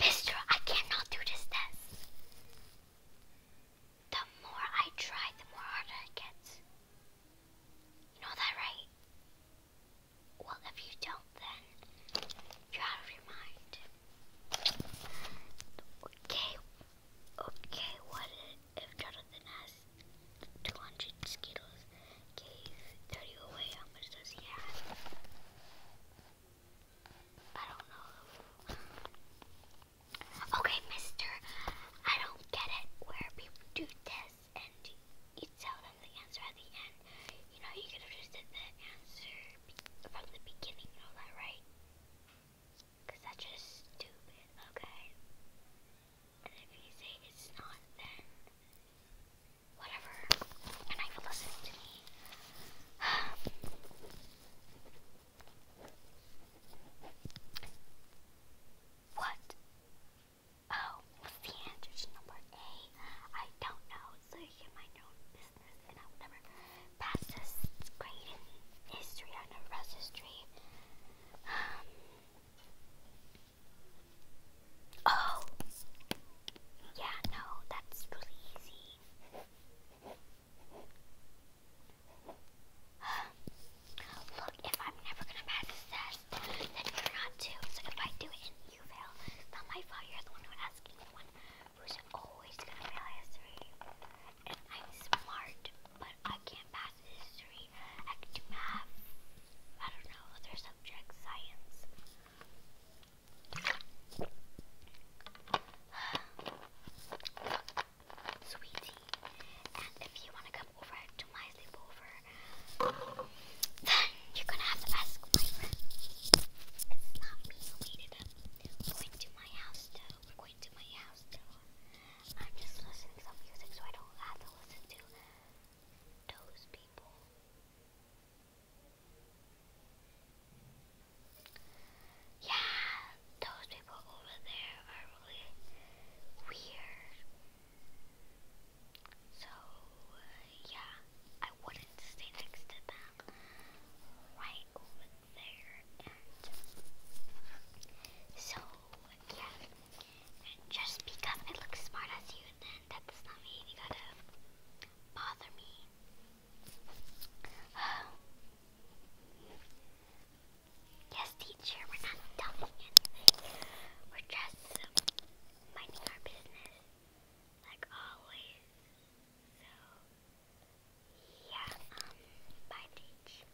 Mister, I cannot do this test. The more I try, the more harder it gets. You know that, right? Well, if you don't, then you're out of your mind. Okay, okay, what if Jonathan has 200 Skittles gave 30 away. How much does he have? I don't know. Okay, mister, I don't get it where people do tests and you tell them the answer at the end. You know, you could have just did the answer from the beginning, know that, right? Because that's just stupid, okay? And if you say it's not, then whatever, and I for listening to me. what? Oh, the answer to number A? I don't know, so you mind your business, and I will never pass this grade in history. I never history. Um, Oh, yeah, no, that's really easy. Look, if I'm never gonna pass this test, then you're not too. So if I do it and you fail, it's not my fault. You're the one who asked me, the one who's always gonna fail history. And I'm smart, but I can't pass classes history, act math, I don't know, other subjects, science. Sweetie, and if you want to come over to my sleepover, then you're gonna have to ask my friend. It's not me who made it up. We're my house, though. We're my house, though. I'm just listening to some music so I don't have to listen to those people. Yeah, those people over there are really weird. So, yeah, I wouldn't stay next to them right over there. so, yeah. just because I look smart as you, then that does not mean you gotta bother me. yes, teacher, we're not talking anything. We're just minding our business, like always. Yeah, um, bye, Teach.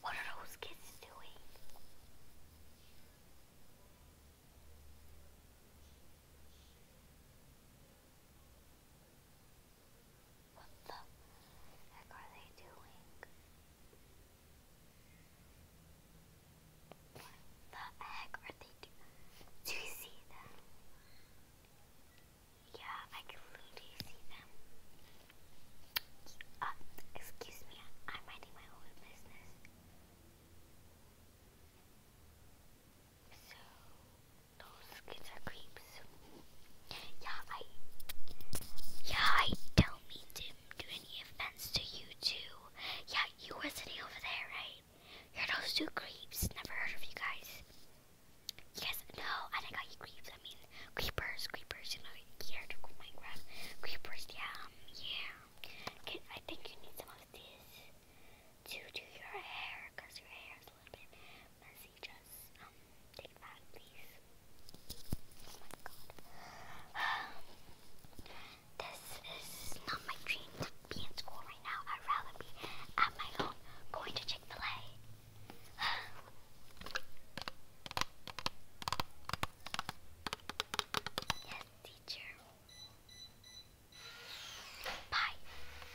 What are those kids doing? What the heck are they doing? What the heck are they doing? Do you see them? Yeah, I can literally see them. Uh, excuse me, I'm minding my own business. So, those kids are creeps. Yeah, I. Yeah, I don't mean to do any offense to you two. Yeah, you were sitting over there, right? You're those two creeps. Never heard of you guys. Yes, no, and I got you creeps. I mean, creepers, creepers. You know, here to Minecraft. Creepers, yeah, yeah. Can, I think you need some of this to do your hair, cause your hair little bit Just um, take it please. Oh my god. this is not my dream to be in school right now. I'd rather be at my home going to Chick Fil A. yes, teacher. Bye.